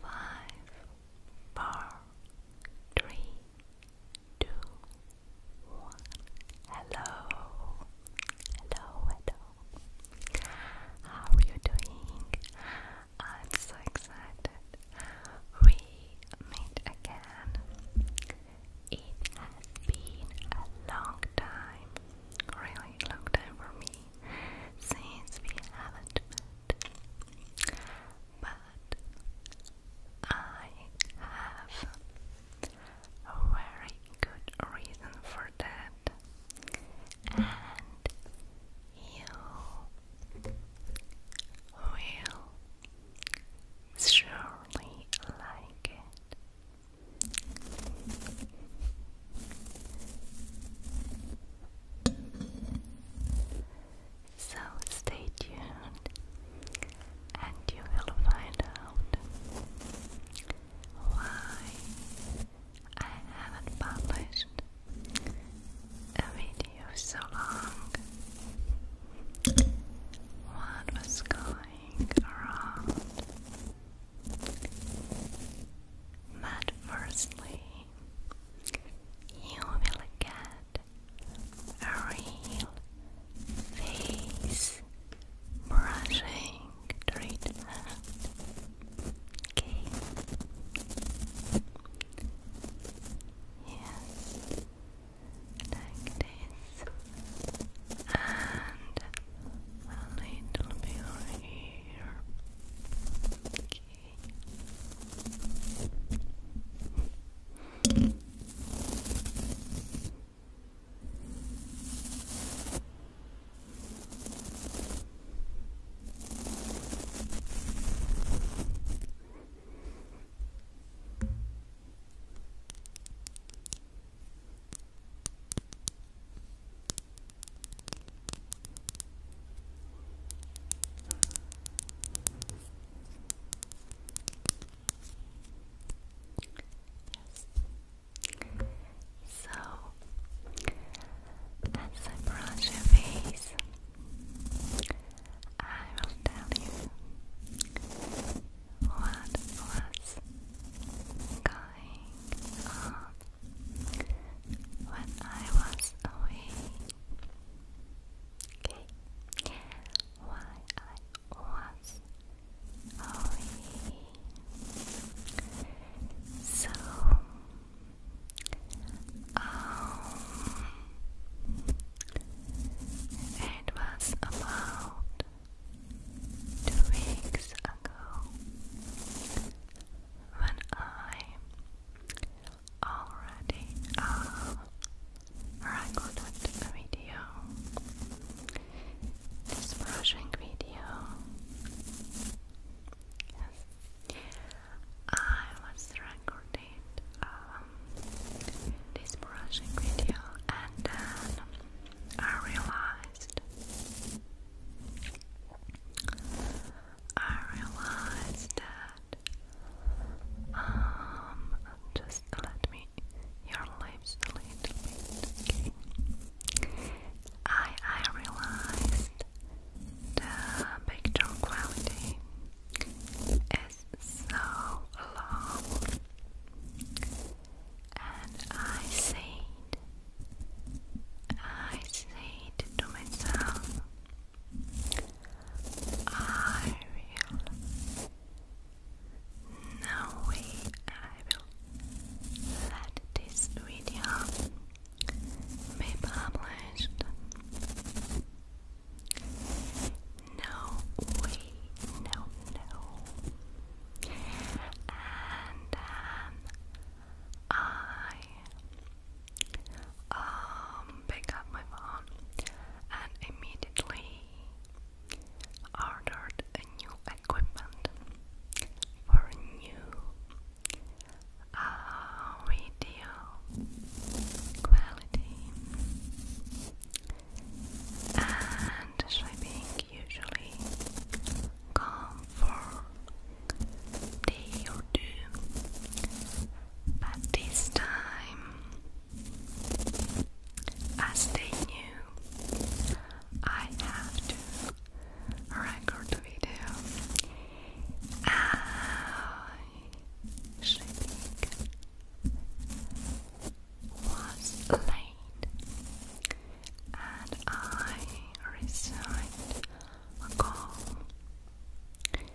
Five, four, three, two, one. Hello, hello, hello. How are you doing? I'm so excited. We meet again. It has been a long time, really long time for me. She says we haven't but I have a very good reason for that, and you will surely like it. So stay tuned and you will find out why I haven't published a video so long. What was going around? But firstly, you will get a real face brushing treatment. Yes, like this, and a little bit here. Okay. So as I brush your face, I will tell you what was going on when I was away. Okay, why I was away. So, um, it was about two weeks ago when I already recorded a video, this brushing video. I was recording um, this brushing video and then I realized I realized that um just let me your lips a little bit okay. I I realized the picture quality is so low and I said, I said to myself, I will. No way I will let this video be published. No way, no, no and um, I um, pick up my phone and immediately ordered a new equipment for a new uh, quality and shipping usually come for day or two, but this time, as they knew, I have to record the video. I think was late and I resigned. a call and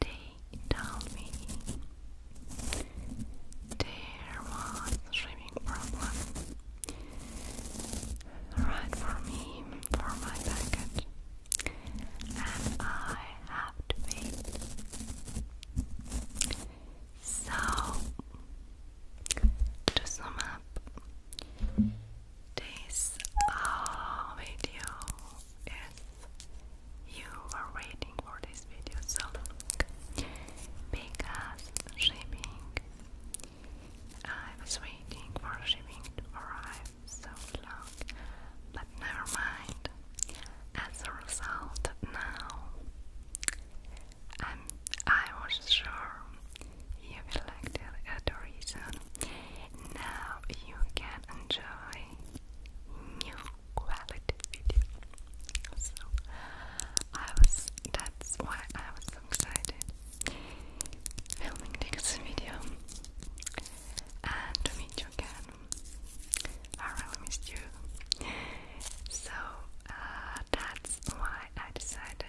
they told me there was swimming problem right for me for my package and I have to wait so to sum up, this uh, video is you were waiting for this video so long because shipping I was waiting for shipping to arrive so long but never mind as a result now i was sure you will like the reason. Now you can enjoy new quality video. So I was that's why I was so excited filming this video and to meet you again. I really missed you. So uh, that's why I decided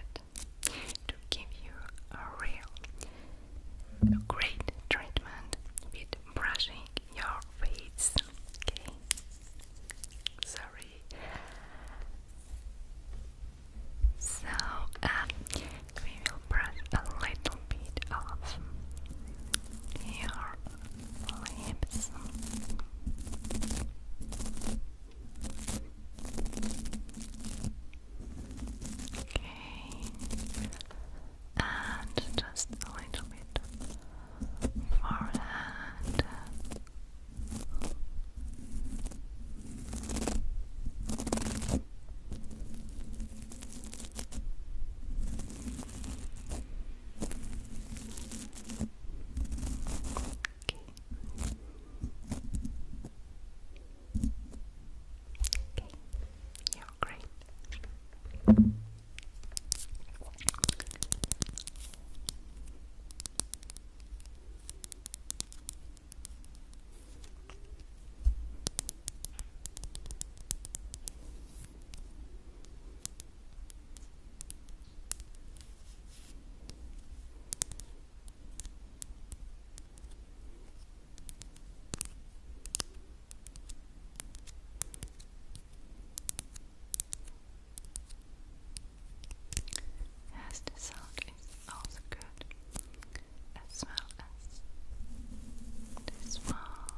to give you a real great treatment with brushing your face. Okay, sorry. So um, we will brush a little bit of your lips. Okay, and just a little bit forehead. Okay. Okay. You're great. Okay. Yes, the sound is also good as well as this one.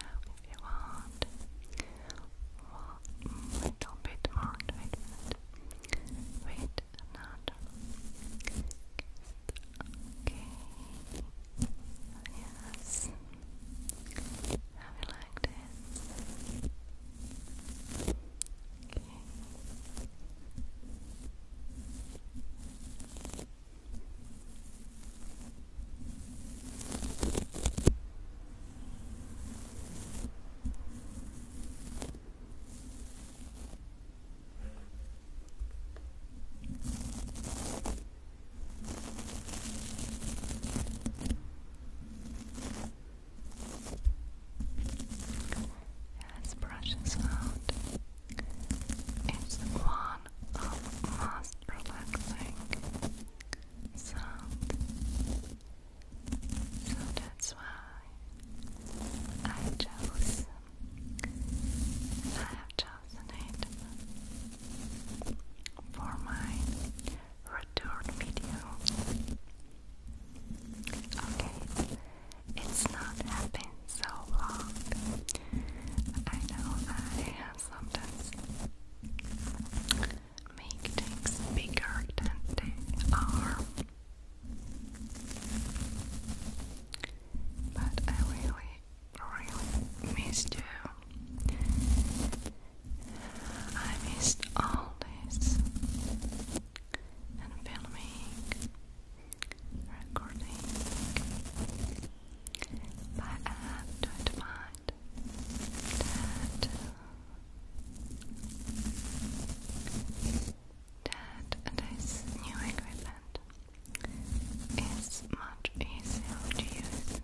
Now, if you want a little bit more, wait a minute. Wait Okay. Yes. Have you like this? Let's brush this out. It's one of most relaxing sound. So that's why I chose I have chosen it for my return video. Okay, it's not happened so long. I know I sometimes make things bigger than they are. But I really, really missed you. I missed all this and filming recording, I have to admit that that this new equipment is much easier to use.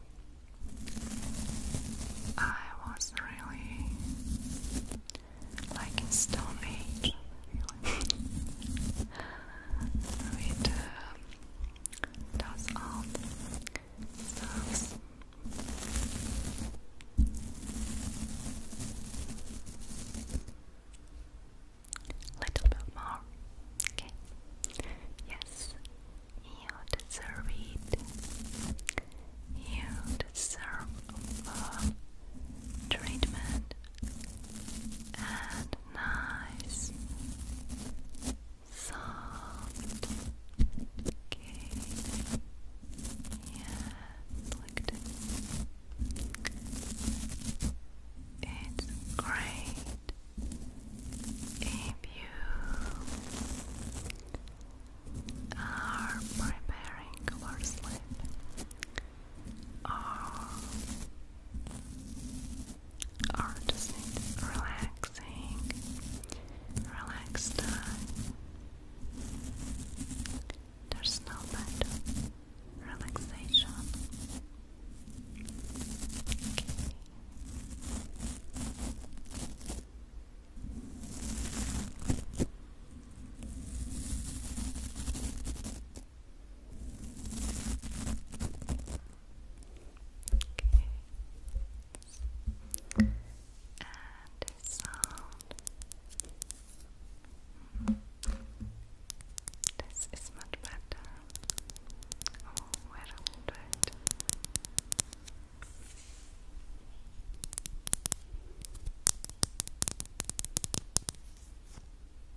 I was really like stone age, with does all the stuff. Little bit more, okay? Yes, you deserve it. You deserve uh, treatment, and nice, soft cake. Yeah, look at it. It's great if you are preparing for sleep. Ah, are relaxing, relaxed time. There's no better relaxation. Okay. And a This is much better. Oh, where a little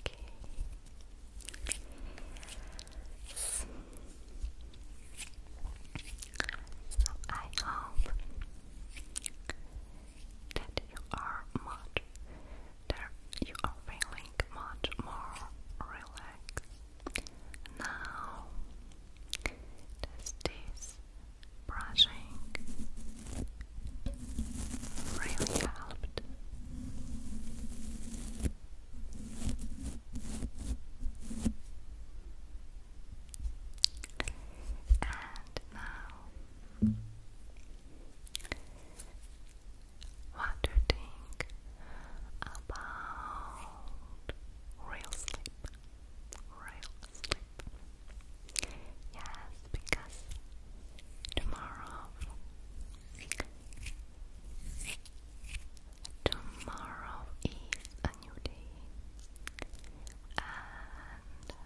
Okay. So, I hope that you are much there you are feeling much more relaxed now does this brushing really helped and now, what you about real sleep? Real sleep. Yes, because tomorrow Tomorrow is a new day, and uh,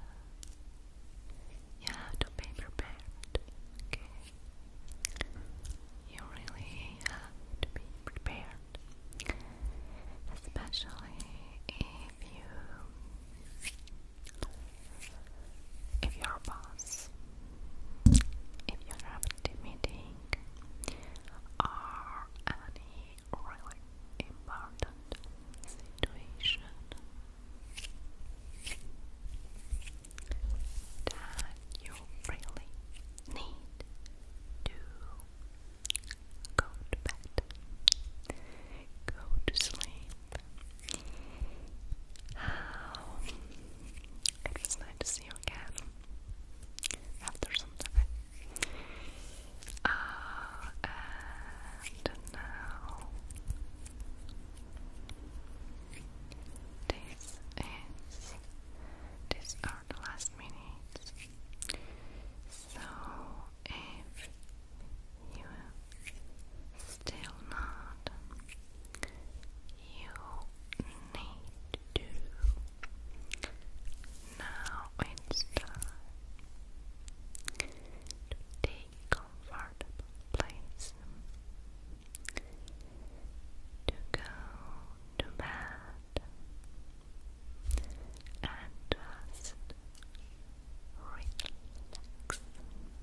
you to be prepared. Okay, you really have to be prepared, especially if you if you're a boss, if you have a meeting or any really important situation that you really need to go to bed, go to sleep. How it was nice to see you again after some time. Uh, and now this is these are the last minutes. So if you still not, you need to. Now it's take comfortable place to go to bed and just relax relax,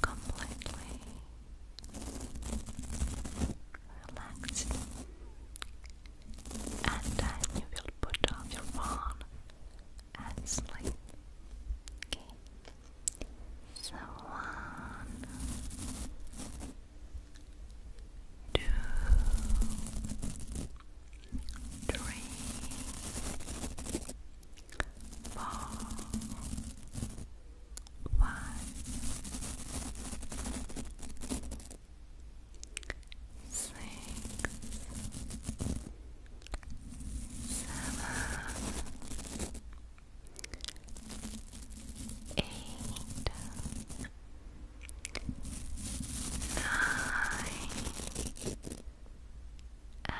completely relaxed, and then you will put off your phone and sleep. so one, two, four, one, six, seven, eight, nine and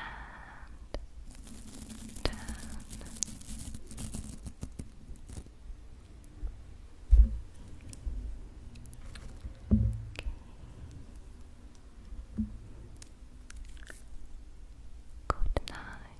ten. Okay. Good night.